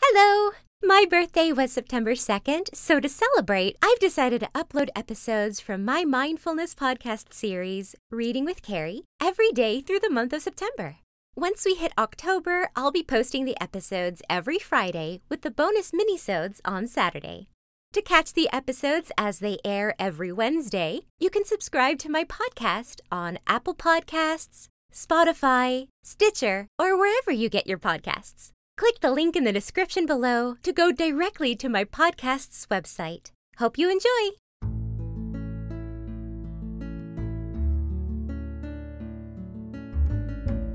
Hello! My birthday was September 2nd, so to celebrate, I've decided to upload episodes from my mindfulness podcast series, Reading with Carrie, every day through the month of September. Once we hit October, I'll be posting the episodes every Friday with the bonus minisodes on Saturday. To catch the episodes as they air every Wednesday, you can subscribe to my podcast on Apple Podcasts, Spotify, Stitcher, or wherever you get your podcasts. Click the link in the description below to go directly to my podcast's website. Hope you enjoy!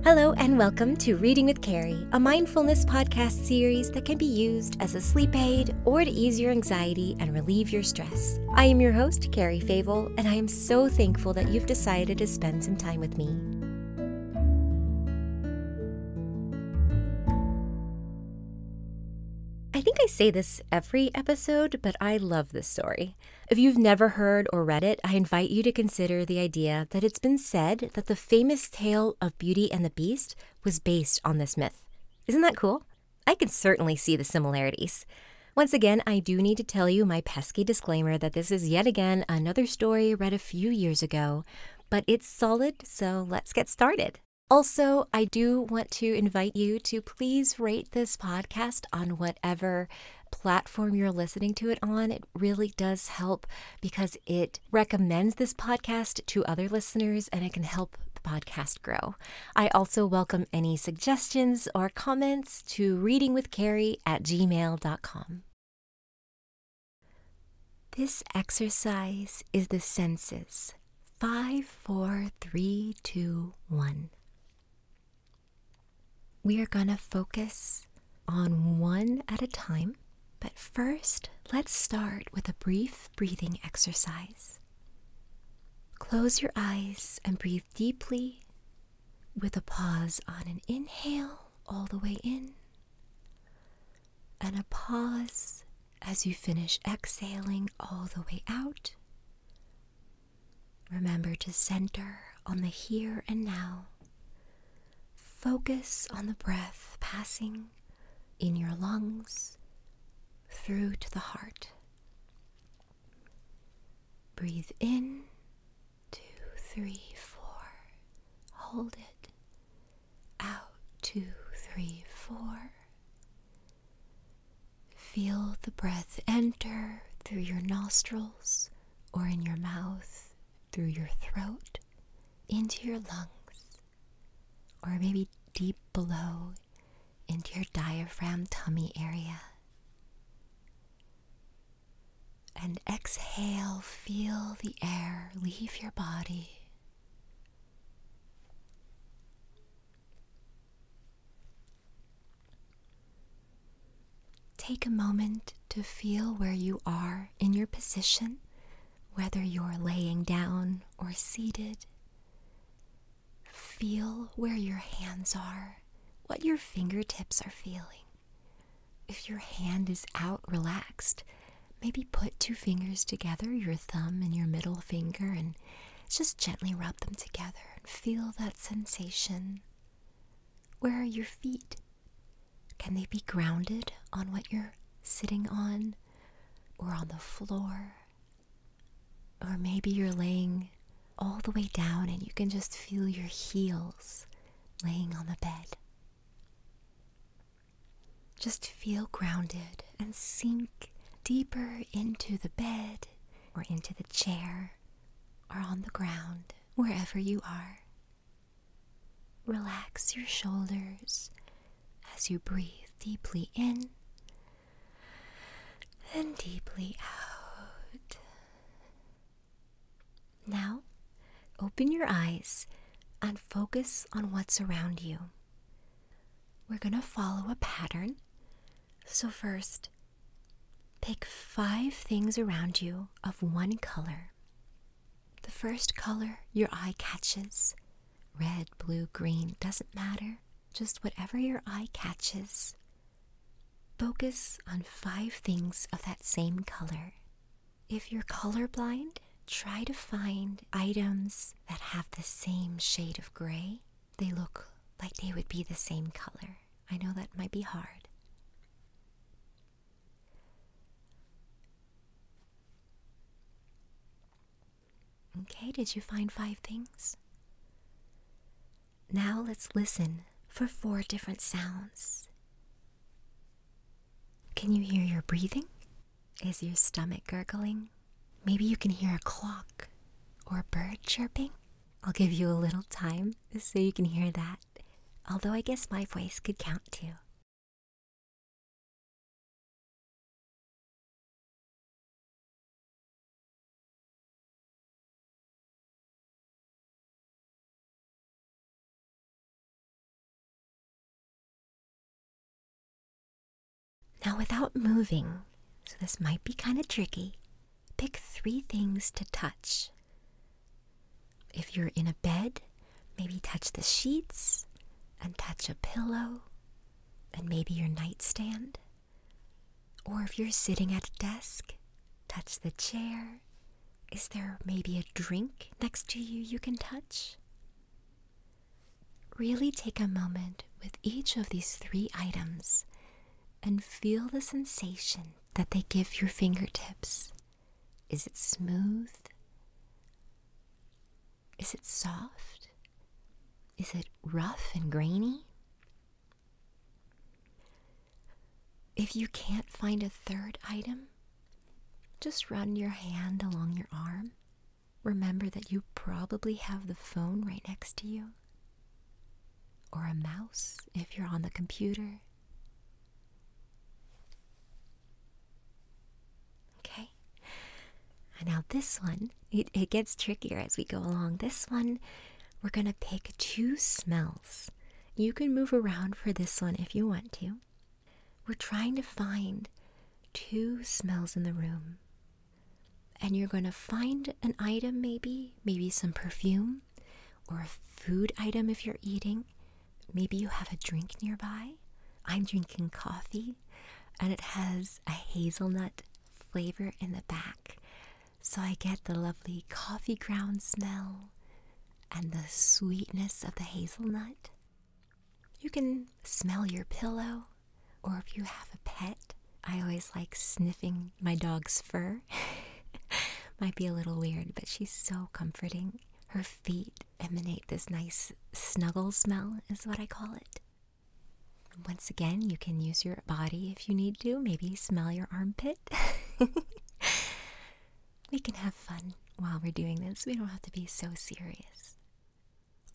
Hello, and welcome to Reading with Carrie, a mindfulness podcast series that can be used as a sleep aid or to ease your anxiety and relieve your stress. I am your host, Carrie Favel, and I am so thankful that you've decided to spend some time with me. I think I say this every episode, but I love this story. If you've never heard or read it, I invite you to consider the idea that it's been said that the famous tale of Beauty and the Beast was based on this myth. Isn't that cool? I can certainly see the similarities. Once again, I do need to tell you my pesky disclaimer that this is yet again another story read a few years ago, but it's solid, so let's get started. Also, I do want to invite you to please rate this podcast on whatever platform you're listening to it on. It really does help because it recommends this podcast to other listeners and it can help the podcast grow. I also welcome any suggestions or comments to readingwithcarrie at gmail.com. This exercise is the senses. Five, four, three, two, one. We are going to focus on one at a time, but first let's start with a brief breathing exercise. Close your eyes and breathe deeply with a pause on an inhale all the way in, and a pause as you finish exhaling all the way out. Remember to center on the here and now. Focus on the breath passing in your lungs through to the heart. Breathe in, two, three, four. Hold it. Out, two, three, four. Feel the breath enter through your nostrils or in your mouth, through your throat, into your lungs, or maybe deep below into your diaphragm tummy area. And exhale, feel the air leave your body. Take a moment to feel where you are in your position, whether you're laying down or seated. Feel where your hands are what your fingertips are feeling. If your hand is out relaxed, maybe put two fingers together, your thumb and your middle finger, and just gently rub them together and feel that sensation. Where are your feet? Can they be grounded on what you're sitting on or on the floor? Or maybe you're laying all the way down and you can just feel your heels laying on the bed. Just feel grounded and sink deeper into the bed or into the chair or on the ground, wherever you are. Relax your shoulders as you breathe deeply in and deeply out. Now, open your eyes and focus on what's around you. We're going to follow a pattern. So, first, pick five things around you of one color. The first color your eye catches red, blue, green, doesn't matter, just whatever your eye catches. Focus on five things of that same color. If you're colorblind, try to find items that have the same shade of gray. They look like they would be the same color. I know that might be hard. Okay, did you find five things? Now let's listen for four different sounds. Can you hear your breathing? Is your stomach gurgling? Maybe you can hear a clock or a bird chirping. I'll give you a little time so you can hear that, although I guess my voice could count too. Now, without moving, so this might be kind of tricky, pick three things to touch. If you're in a bed, maybe touch the sheets and touch a pillow and maybe your nightstand. Or if you're sitting at a desk, touch the chair. Is there maybe a drink next to you you can touch? Really take a moment with each of these three items and feel the sensation that they give your fingertips. Is it smooth? Is it soft? Is it rough and grainy? If you can't find a third item, just run your hand along your arm. Remember that you probably have the phone right next to you, or a mouse if you're on the computer. Okay, now this one, it gets trickier as we go along. This one we're going to pick two smells. You can move around for this one if you want to. We're trying to find two smells in the room. And you're going to find an item, maybe, maybe some perfume or a food item if you're eating. Maybe you have a drink nearby. I'm drinking coffee and it has a hazelnut flavor in the back. So I get the lovely coffee ground smell and the sweetness of the hazelnut. You can smell your pillow, or if you have a pet, I always like sniffing my dog's fur. Might be a little weird, but she's so comforting. Her feet emanate this nice snuggle smell, is what I call it. Once again, you can use your body if you need to. Maybe smell your armpit we can have fun while we're doing this. We don't have to be so serious.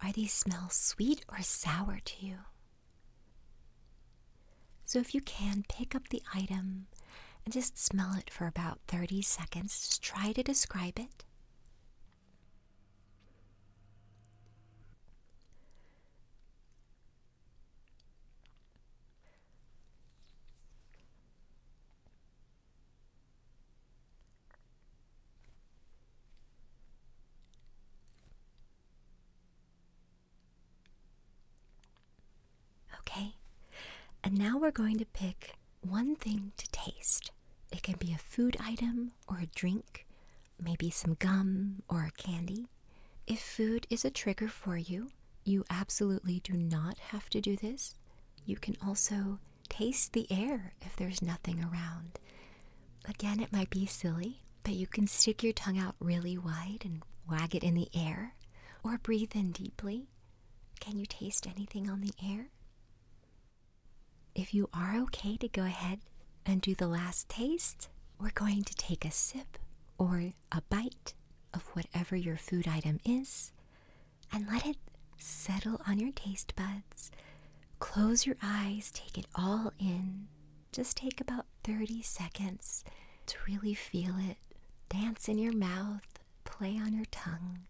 Are these smells sweet or sour to you? So, if you can, pick up the item and just smell it for about 30 seconds. Just try to describe it. Okay, and now we're going to pick one thing to taste. It can be a food item or a drink, maybe some gum or a candy. If food is a trigger for you, you absolutely do not have to do this. You can also taste the air if there's nothing around. Again, it might be silly, but you can stick your tongue out really wide and wag it in the air or breathe in deeply. Can you taste anything on the air? If you are okay to go ahead and do the last taste, we're going to take a sip or a bite of whatever your food item is and let it settle on your taste buds. Close your eyes, take it all in. Just take about 30 seconds to really feel it. Dance in your mouth, play on your tongue.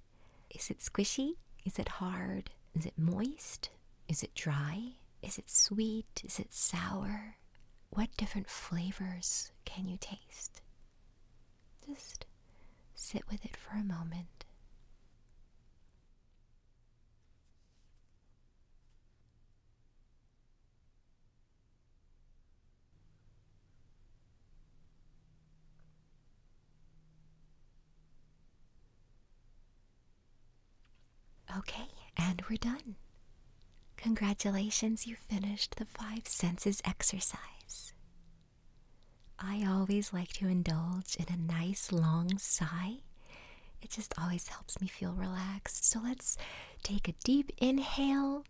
Is it squishy? Is it hard? Is it moist? Is it dry? Is it sweet? Is it sour? What different flavors can you taste? Just sit with it for a moment. Okay, and we're done. Congratulations, you finished the five senses exercise. I always like to indulge in a nice long sigh. It just always helps me feel relaxed. So let's take a deep inhale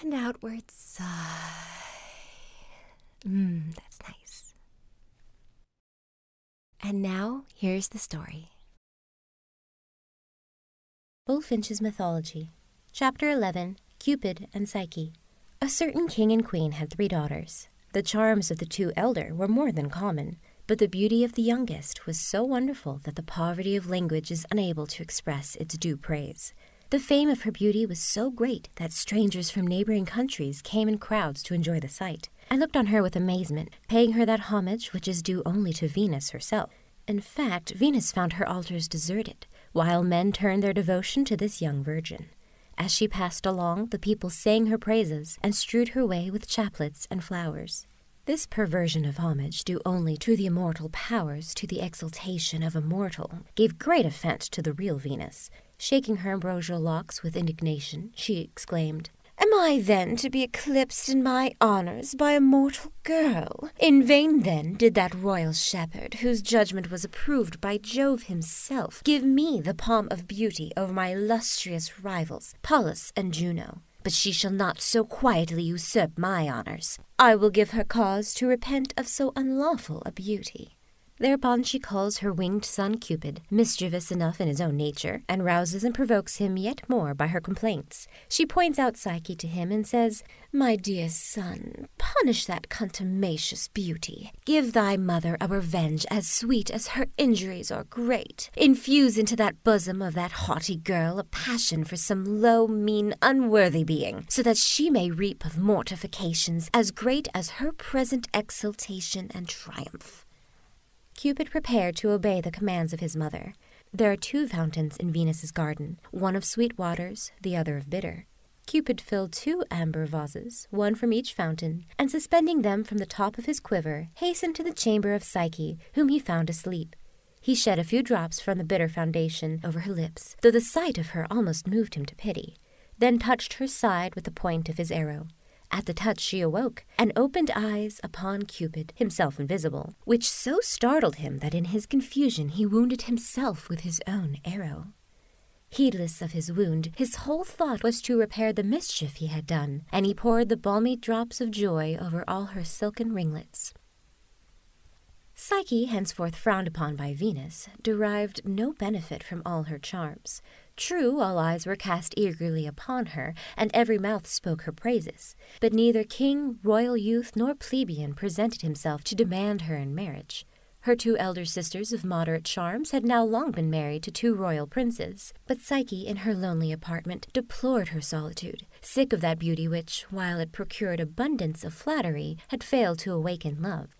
and outward sigh. Mmm, that's nice. And now, here's the story Bulfinch's Mythology, Chapter 11 Cupid and Psyche. A certain king and queen had three daughters. The charms of the two elder were more than common, but the beauty of the youngest was so wonderful that the poverty of language is unable to express its due praise. The fame of her beauty was so great that strangers from neighboring countries came in crowds to enjoy the sight. I looked on her with amazement, paying her that homage which is due only to Venus herself. In fact, Venus found her altars deserted, while men turned their devotion to this young virgin. As she passed along, the people sang her praises and strewed her way with chaplets and flowers. This perversion of homage, due only to the immortal powers, to the exaltation of a mortal, gave great offense to the real Venus. Shaking her ambrosial locks with indignation, she exclaimed, Am I then to be eclipsed in my honours by a mortal girl? In vain, then, did that royal shepherd, whose judgment was approved by Jove himself, give me the palm of beauty over my illustrious rivals, Pallas and Juno. But she shall not so quietly usurp my honours. I will give her cause to repent of so unlawful a beauty. Thereupon she calls her winged son Cupid, mischievous enough in his own nature, and rouses and provokes him yet more by her complaints. She points out Psyche to him and says, My dear son, punish that contumacious beauty. Give thy mother a revenge as sweet as her injuries are great. Infuse into that bosom of that haughty girl a passion for some low, mean, unworthy being, so that she may reap of mortifications as great as her present exultation and triumph. Cupid prepared to obey the commands of his mother. There are two fountains in Venus's garden, one of sweet waters, the other of bitter. Cupid filled two amber vases, one from each fountain, and suspending them from the top of his quiver, hastened to the chamber of Psyche, whom he found asleep. He shed a few drops from the bitter foundation over her lips, though the sight of her almost moved him to pity, then touched her side with the point of his arrow. At the touch she awoke, and opened eyes upon Cupid, himself invisible, which so startled him that in his confusion he wounded himself with his own arrow. Heedless of his wound, his whole thought was to repair the mischief he had done, and he poured the balmy drops of joy over all her silken ringlets. Psyche, henceforth frowned upon by Venus, derived no benefit from all her charms, True, all eyes were cast eagerly upon her, and every mouth spoke her praises. But neither king, royal youth, nor plebeian presented himself to demand her in marriage. Her two elder sisters of moderate charms had now long been married to two royal princes, but Psyche, in her lonely apartment, deplored her solitude, sick of that beauty which, while it procured abundance of flattery, had failed to awaken love.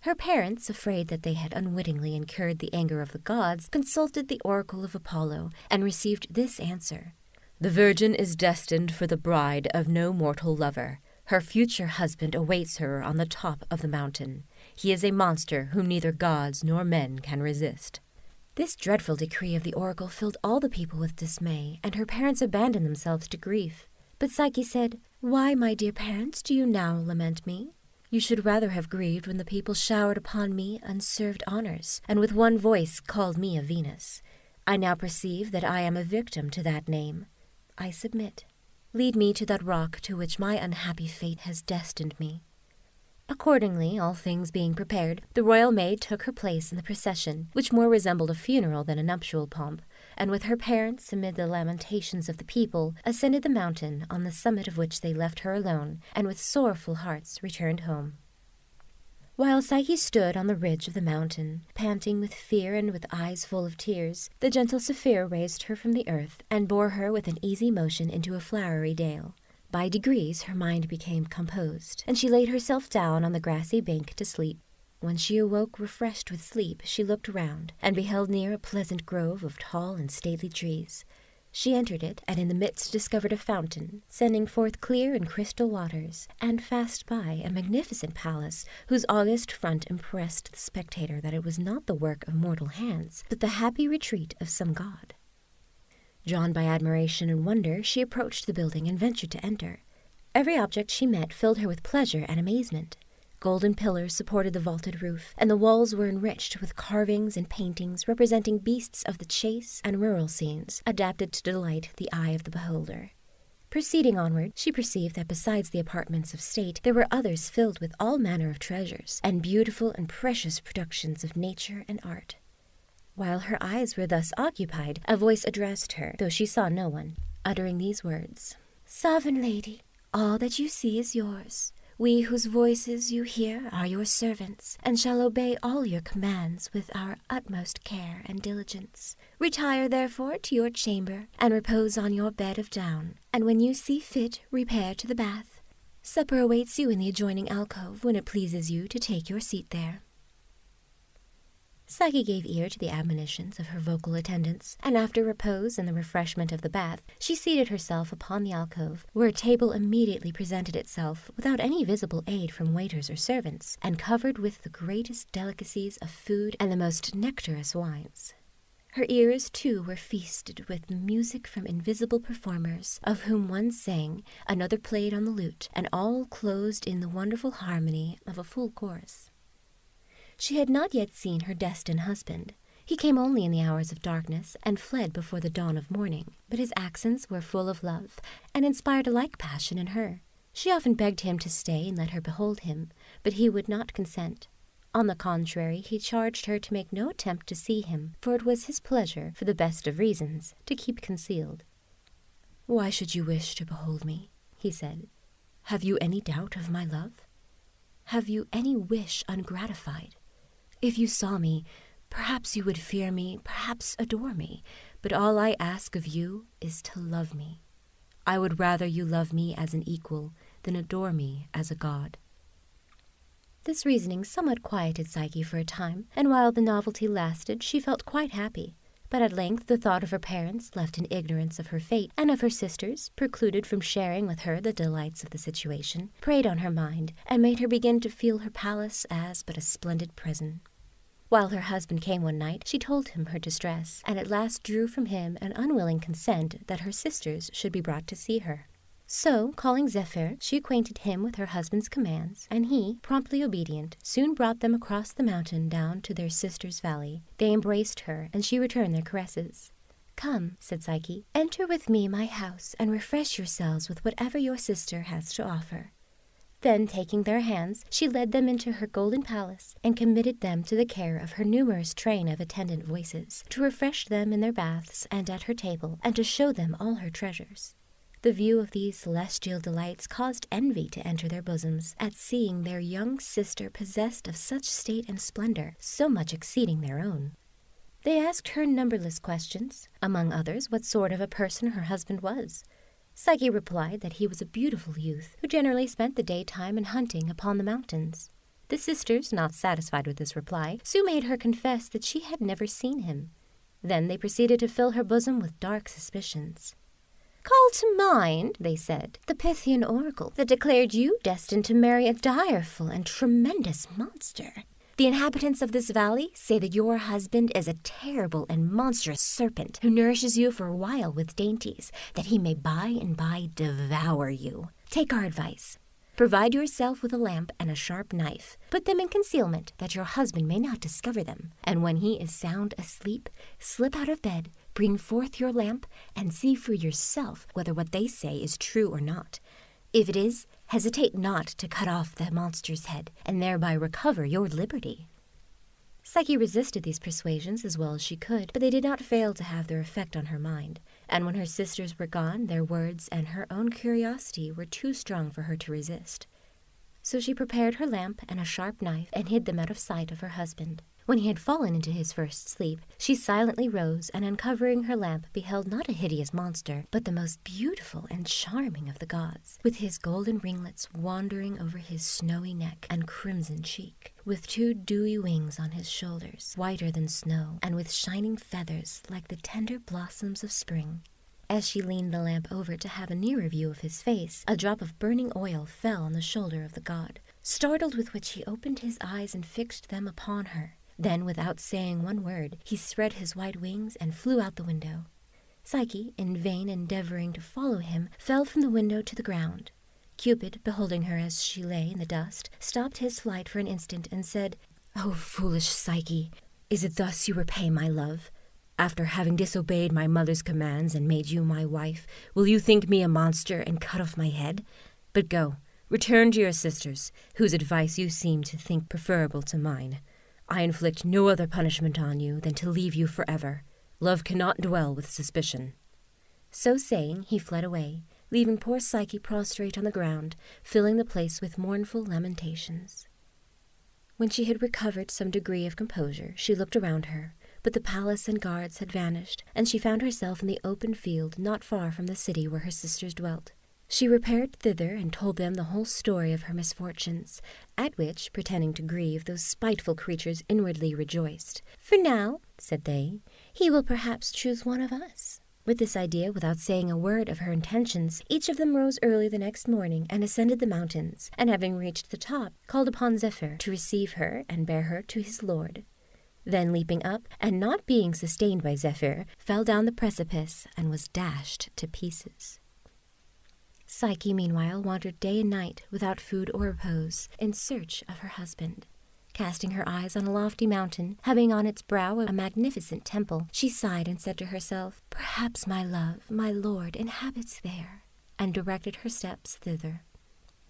Her parents, afraid that they had unwittingly incurred the anger of the gods, consulted the oracle of Apollo and received this answer The virgin is destined for the bride of no mortal lover. Her future husband awaits her on the top of the mountain. He is a monster whom neither gods nor men can resist. This dreadful decree of the oracle filled all the people with dismay, and her parents abandoned themselves to grief. But Psyche said, Why, my dear parents, do you now lament me? You should rather have grieved when the people showered upon me unserved honors, and with one voice called me a Venus. I now perceive that I am a victim to that name. I submit. Lead me to that rock to which my unhappy fate has destined me. Accordingly, all things being prepared, the royal maid took her place in the procession, which more resembled a funeral than a nuptial pomp, and with her parents, amid the lamentations of the people, ascended the mountain, on the summit of which they left her alone, and with sorrowful hearts returned home. While Psyche stood on the ridge of the mountain, panting with fear and with eyes full of tears, the gentle Saphir raised her from the earth and bore her with an easy motion into a flowery dale. By degrees her mind became composed, and she laid herself down on the grassy bank to sleep. When she awoke refreshed with sleep, she looked round, and beheld near a pleasant grove of tall and stately trees. She entered it, and in the midst discovered a fountain, sending forth clear and crystal waters, and fast by a magnificent palace, whose august front impressed the spectator that it was not the work of mortal hands, but the happy retreat of some god. Drawn by admiration and wonder, she approached the building and ventured to enter. Every object she met filled her with pleasure and amazement. Golden pillars supported the vaulted roof, and the walls were enriched with carvings and paintings representing beasts of the chase and rural scenes, adapted to delight the eye of the beholder. Proceeding onward, she perceived that besides the apartments of state, there were others filled with all manner of treasures, and beautiful and precious productions of nature and art. While her eyes were thus occupied, a voice addressed her, though she saw no one, uttering these words Sovereign lady, all that you see is yours. We whose voices you hear are your servants, and shall obey all your commands with our utmost care and diligence. Retire, therefore, to your chamber, and repose on your bed of down, and when you see fit, repair to the bath. Supper awaits you in the adjoining alcove when it pleases you to take your seat there. Sagi gave ear to the admonitions of her vocal attendants, and after repose and the refreshment of the bath, she seated herself upon the alcove where a table immediately presented itself without any visible aid from waiters or servants, and covered with the greatest delicacies of food and the most nectarous wines. Her ears, too, were feasted with music from invisible performers, of whom one sang, another played on the lute, and all closed in the wonderful harmony of a full chorus. She had not yet seen her destined husband. He came only in the hours of darkness, and fled before the dawn of morning but his accents were full of love, and inspired a like passion in her. She often begged him to stay and let her behold him, but he would not consent. On the contrary, he charged her to make no attempt to see him, for it was his pleasure, for the best of reasons, to keep concealed. Why should you wish to behold me? he said. Have you any doubt of my love? Have you any wish ungratified? If you saw me, perhaps you would fear me, perhaps adore me, but all I ask of you is to love me. I would rather you love me as an equal than adore me as a god. This reasoning somewhat quieted Psyche for a time, and while the novelty lasted, she felt quite happy. But at length the thought of her parents, left in ignorance of her fate, and of her sisters, precluded from sharing with her the delights of the situation, preyed on her mind, and made her begin to feel her palace as but a splendid prison. While her husband came one night, she told him her distress, and at last drew from him an unwilling consent that her sisters should be brought to see her. So, calling Zephyr, she acquainted him with her husband's commands, and he, promptly obedient, soon brought them across the mountain down to their sister's valley. They embraced her, and she returned their caresses. Come, said Psyche, enter with me my house, and refresh yourselves with whatever your sister has to offer. Then, taking their hands, she led them into her golden palace and committed them to the care of her numerous train of attendant voices, to refresh them in their baths and at her table, and to show them all her treasures. The view of these celestial delights caused envy to enter their bosoms at seeing their young sister possessed of such state and splendor, so much exceeding their own. They asked her numberless questions, among others, what sort of a person her husband was. Psyche replied that he was a beautiful youth who generally spent the daytime in hunting upon the mountains. The sisters, not satisfied with this reply, soon made her confess that she had never seen him. Then they proceeded to fill her bosom with dark suspicions. Call to mind, they said, the Pythian oracle that declared you destined to marry a direful and tremendous monster. The inhabitants of this valley say that your husband is a terrible and monstrous serpent who nourishes you for a while with dainties, that he may by and by devour you. Take our advice. Provide yourself with a lamp and a sharp knife. Put them in concealment, that your husband may not discover them. And when he is sound asleep, slip out of bed, bring forth your lamp, and see for yourself whether what they say is true or not. If it is, hesitate not to cut off the monster's head, and thereby recover your liberty. Psyche resisted these persuasions as well as she could, but they did not fail to have their effect on her mind, and when her sisters were gone, their words and her own curiosity were too strong for her to resist. So she prepared her lamp and a sharp knife and hid them out of sight of her husband. When he had fallen into his first sleep, she silently rose and uncovering her lamp beheld not a hideous monster, but the most beautiful and charming of the gods, with his golden ringlets wandering over his snowy neck and crimson cheek, with two dewy wings on his shoulders, whiter than snow, and with shining feathers like the tender blossoms of spring. As she leaned the lamp over to have a nearer view of his face, a drop of burning oil fell on the shoulder of the god, startled with which he opened his eyes and fixed them upon her. Then, without saying one word, he spread his white wings and flew out the window. Psyche, in vain endeavoring to follow him, fell from the window to the ground. Cupid, beholding her as she lay in the dust, stopped his flight for an instant and said, O oh, foolish Psyche, is it thus you repay my love? After having disobeyed my mother's commands and made you my wife, will you think me a monster and cut off my head? But go, Return to your sisters, whose advice you seem to think preferable to mine. I inflict no other punishment on you than to leave you for ever. Love cannot dwell with suspicion. So saying, he fled away, leaving poor Psyche prostrate on the ground, filling the place with mournful lamentations. When she had recovered some degree of composure, she looked around her, but the palace and guards had vanished, and she found herself in the open field not far from the city where her sisters dwelt. She repaired thither and told them the whole story of her misfortunes, at which, pretending to grieve, those spiteful creatures inwardly rejoiced. For now, said they, he will perhaps choose one of us. With this idea, without saying a word of her intentions, each of them rose early the next morning and ascended the mountains, and having reached the top, called upon Zephyr to receive her and bear her to his lord. Then leaping up, and not being sustained by Zephyr, fell down the precipice and was dashed to pieces. Psyche, meanwhile, wandered day and night without food or repose in search of her husband. Casting her eyes on a lofty mountain, having on its brow a magnificent temple, she sighed and said to herself, Perhaps my love, my lord, inhabits there, and directed her steps thither.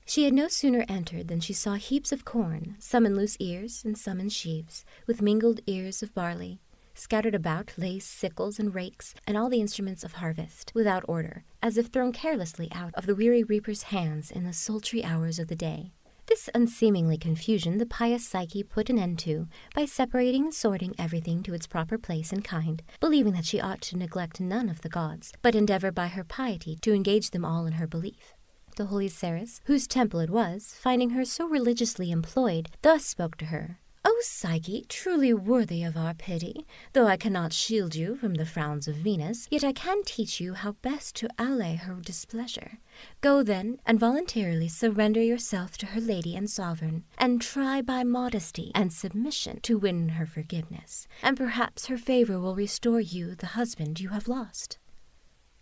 She had no sooner entered than she saw heaps of corn, some in loose ears and some in sheaves with mingled ears of barley. Scattered about lay sickles and rakes and all the instruments of harvest, without order, as if thrown carelessly out of the weary reaper's hands in the sultry hours of the day. This unseemly confusion the pious Psyche put an end to by separating and sorting everything to its proper place and kind, believing that she ought to neglect none of the gods, but endeavor by her piety to engage them all in her belief. The holy Ceres, whose temple it was, finding her so religiously employed, thus spoke to her. O Psyche, truly worthy of our pity, though I cannot shield you from the frowns of Venus, yet I can teach you how best to allay her displeasure. Go then, and voluntarily surrender yourself to her lady and sovereign, and try by modesty and submission to win her forgiveness, and perhaps her favor will restore you the husband you have lost.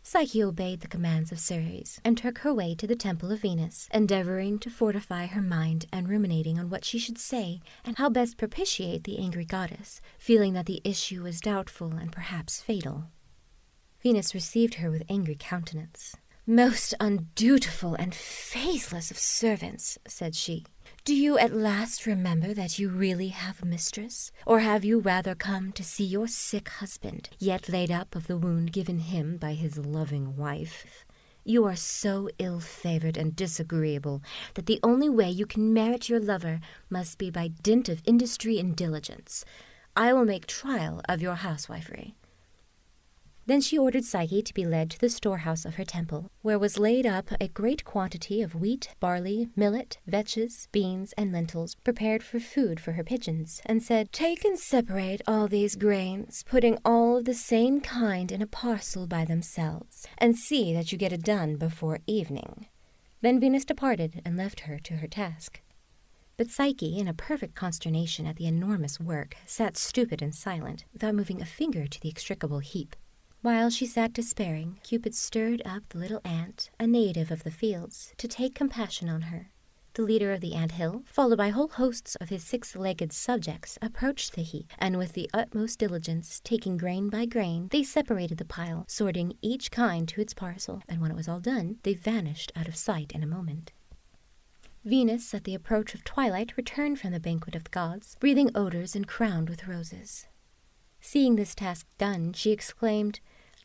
Psyche obeyed the commands of Ceres and took her way to the temple of Venus, endeavoring to fortify her mind and ruminating on what she should say and how best propitiate the angry goddess, feeling that the issue was doubtful and perhaps fatal. Venus received her with angry countenance. Most undutiful and faithless of servants, said she, do you at last remember that you really have mistress, or have you rather come to see your sick husband yet laid up of the wound given him by his loving wife. You are so ill favoured and disagreeable that the only way you can merit your lover must be by dint of industry and diligence. I will make trial of your housewifery. Then she ordered Psyche to be led to the storehouse of her temple, where was laid up a great quantity of wheat, barley, millet, vetches, beans, and lentils prepared for food for her pigeons, and said, Take and separate all these grains, putting all of the same kind in a parcel by themselves, and see that you get it done before evening. Then Venus departed and left her to her task. But Psyche, in a perfect consternation at the enormous work, sat stupid and silent, without moving a finger to the extricable heap. While she sat despairing, Cupid stirred up the little ant, a native of the fields, to take compassion on her. The leader of the ant hill, followed by whole hosts of his six legged subjects, approached the heap, and with the utmost diligence, taking grain by grain, they separated the pile, sorting each kind to its parcel, and when it was all done, they vanished out of sight in a moment. Venus, at the approach of twilight, returned from the banquet of the gods, breathing odors and crowned with roses. Seeing this task done, she exclaimed,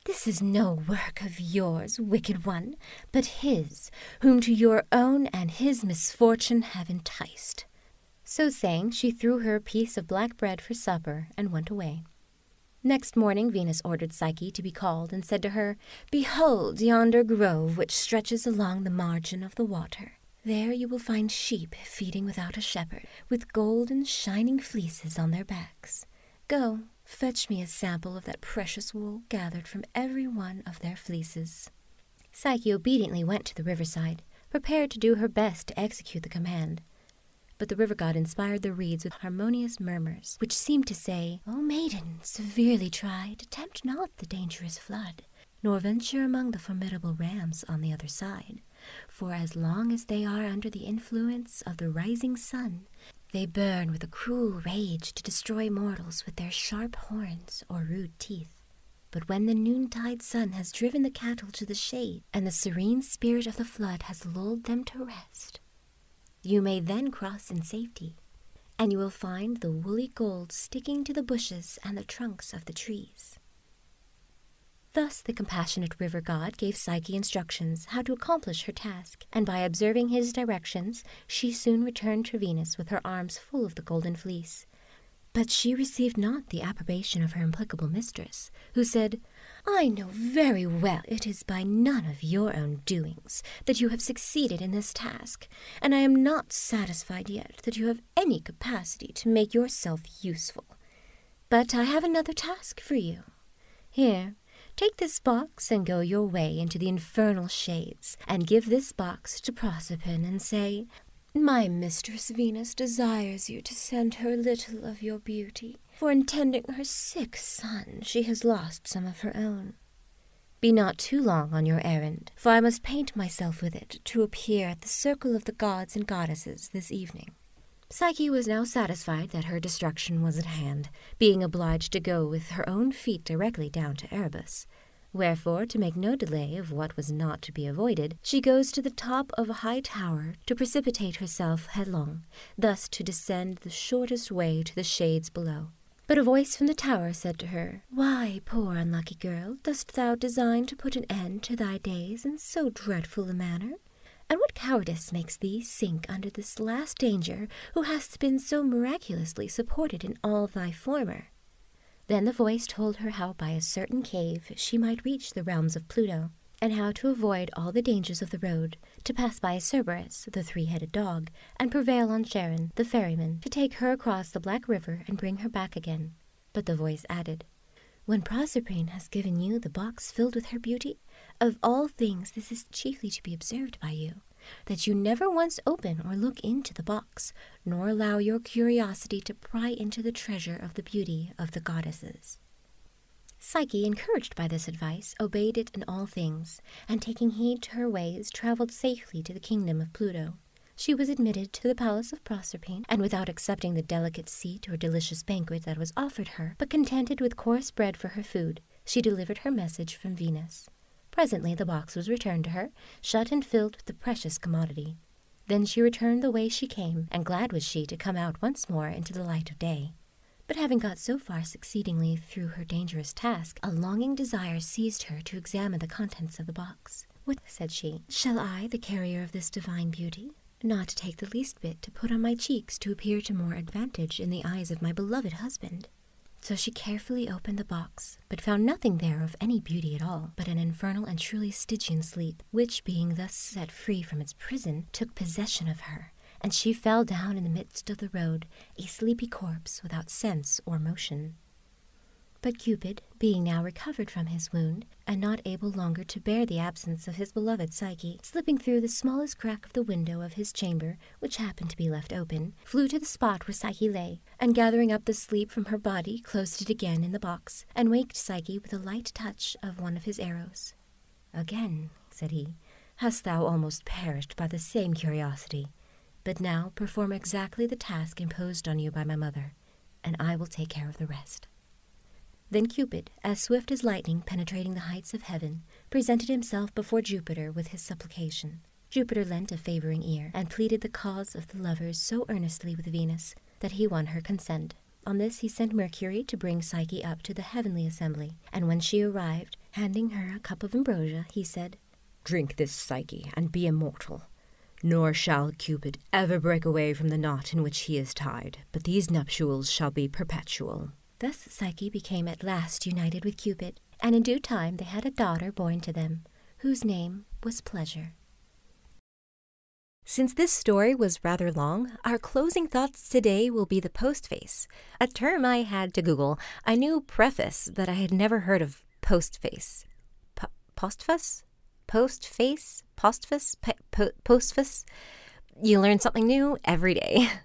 this is no work of yours, wicked one, but his, whom to your own and his misfortune have enticed. So saying, she threw her a piece of black bread for supper and went away. Next morning Venus ordered Psyche to be called and said to her, Behold yonder grove which stretches along the margin of the water. There you will find sheep feeding without a shepherd, with golden shining fleeces on their backs. Go fetch me a sample of that precious wool gathered from every one of their fleeces. Psyche obediently went to the riverside, prepared to do her best to execute the command. But the river god inspired the reeds with harmonious murmurs, which seemed to say, O maiden, severely tried, tempt not the dangerous flood, nor venture among the formidable rams on the other side. For as long as they are under the influence of the rising sun, they burn with a cruel rage to destroy mortals with their sharp horns or rude teeth. But when the noontide sun has driven the cattle to the shade, and the serene spirit of the flood has lulled them to rest, you may then cross in safety, and you will find the woolly gold sticking to the bushes and the trunks of the trees. Thus the compassionate river god gave Psyche instructions how to accomplish her task and by observing his directions, she soon returned to Venus with her arms full of the golden fleece. But she received not the approbation of her implacable mistress, who said, I know very well it is by none of your own doings that you have succeeded in this task, and I am not satisfied yet that you have any capacity to make yourself useful. But I have another task for you, here, take this box and go your way into the infernal shades, and give this box to Proserpine, and say, My mistress Venus desires you to send her a little of your beauty, for in tending her sick son she has lost some of her own. Be not too long on your errand, for I must paint myself with it to appear at the circle of the gods and goddesses this evening. Psyche was now satisfied that her destruction was at hand, being obliged to go with her own feet directly down to Erebus. Wherefore, to make no delay of what was not to be avoided, she goes to the top of a high tower to precipitate herself headlong, thus to descend the shortest way to the shades below. But a voice from the tower said to her, Why, poor unlucky girl, dost thou design to put an end to thy days in so dreadful a manner? And what cowardice makes thee sink under this last danger who hast been so miraculously supported in all thy former? Then the voice told her how by a certain cave she might reach the realms of Pluto, and how to avoid all the dangers of the road, to pass by Cerberus, the three-headed dog, and prevail on Charon, the ferryman, to take her across the Black River and bring her back again. But the voice added, When Proserpine has given you the box filled with her beauty, of all things, this is chiefly to be observed by you, that you never once open or look into the box, nor allow your curiosity to pry into the treasure of the beauty of the goddesses. Psyche, encouraged by this advice, obeyed it in all things, and taking heed to her ways, travelled safely to the kingdom of Pluto. She was admitted to the palace of Proserpine, and without accepting the delicate seat or delicious banquet that was offered her, but contented with coarse bread for her food, she delivered her message from Venus. Presently the box was returned to her, shut and filled with the precious commodity. Then she returned the way she came, and glad was she to come out once more into the light of day. But having got so far succeedingly through her dangerous task, a longing desire seized her to examine the contents of the box. What, said she, shall I, the carrier of this divine beauty, not take the least bit to put on my cheeks to appear to more advantage in the eyes of my beloved husband. So she carefully opened the box, but found nothing there of any beauty at all, but an infernal and truly Stygian sleep, which, being thus set free from its prison, took possession of her, and she fell down in the midst of the road, a sleepy corpse without sense or motion. But Cupid, being now recovered from his wound, and not able longer to bear the absence of his his beloved Psyche, slipping through the smallest crack of the window of his chamber, which happened to be left open, flew to the spot where Psyche lay, and gathering up the sleep from her body, closed it again in the box, and waked Psyche with a light touch of one of his arrows. Again, said he, hast thou almost perished by the same curiosity. But now perform exactly the task imposed on you by my mother, and I will take care of the rest. Then Cupid, as swift as lightning penetrating the heights of heaven, presented himself before Jupiter with his supplication. Jupiter lent a favoring ear, and pleaded the cause of the lovers so earnestly with Venus that he won her consent. On this he sent Mercury to bring Psyche up to the heavenly assembly, and when she arrived, handing her a cup of ambrosia, he said, Drink this, Psyche, and be immortal. Nor shall Cupid ever break away from the knot in which he is tied, but these nuptials shall be perpetual. Thus Psyche became at last united with Cupid, and in due time they had a daughter born to them, whose name was Pleasure. Since this story was rather long, our closing thoughts today will be the postface, a term I had to Google. A new preface, but I had never heard of postface. postfus, postface? postfus, postfus. You learn something new every day.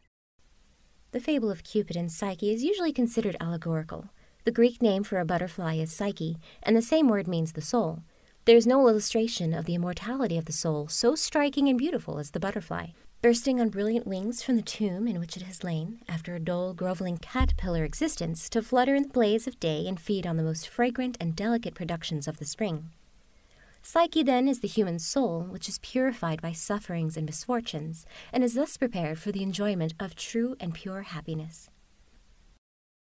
The fable of Cupid and Psyche is usually considered allegorical. The Greek name for a butterfly is Psyche, and the same word means the soul. There is no illustration of the immortality of the soul so striking and beautiful as the butterfly. Bursting on brilliant wings from the tomb in which it has lain, after a dull, groveling caterpillar existence, to flutter in the blaze of day and feed on the most fragrant and delicate productions of the spring. Psyche, then, is the human soul, which is purified by sufferings and misfortunes, and is thus prepared for the enjoyment of true and pure happiness.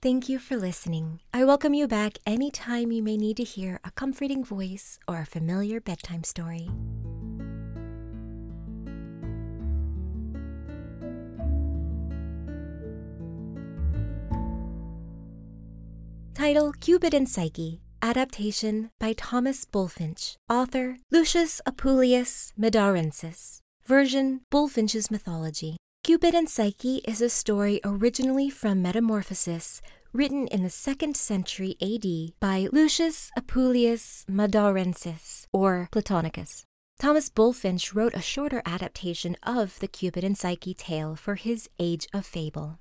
Thank you for listening. I welcome you back any time you may need to hear a comforting voice or a familiar bedtime story. Title Cupid and Psyche Adaptation by Thomas Bulfinch. Author Lucius Apuleius Medarensis. Version Bulfinch's Mythology. Cupid and Psyche is a story originally from Metamorphosis, written in the 2nd century AD by Lucius Apuleius Medarensis, or Platonicus. Thomas Bulfinch wrote a shorter adaptation of the Cupid and Psyche tale for his Age of Fable.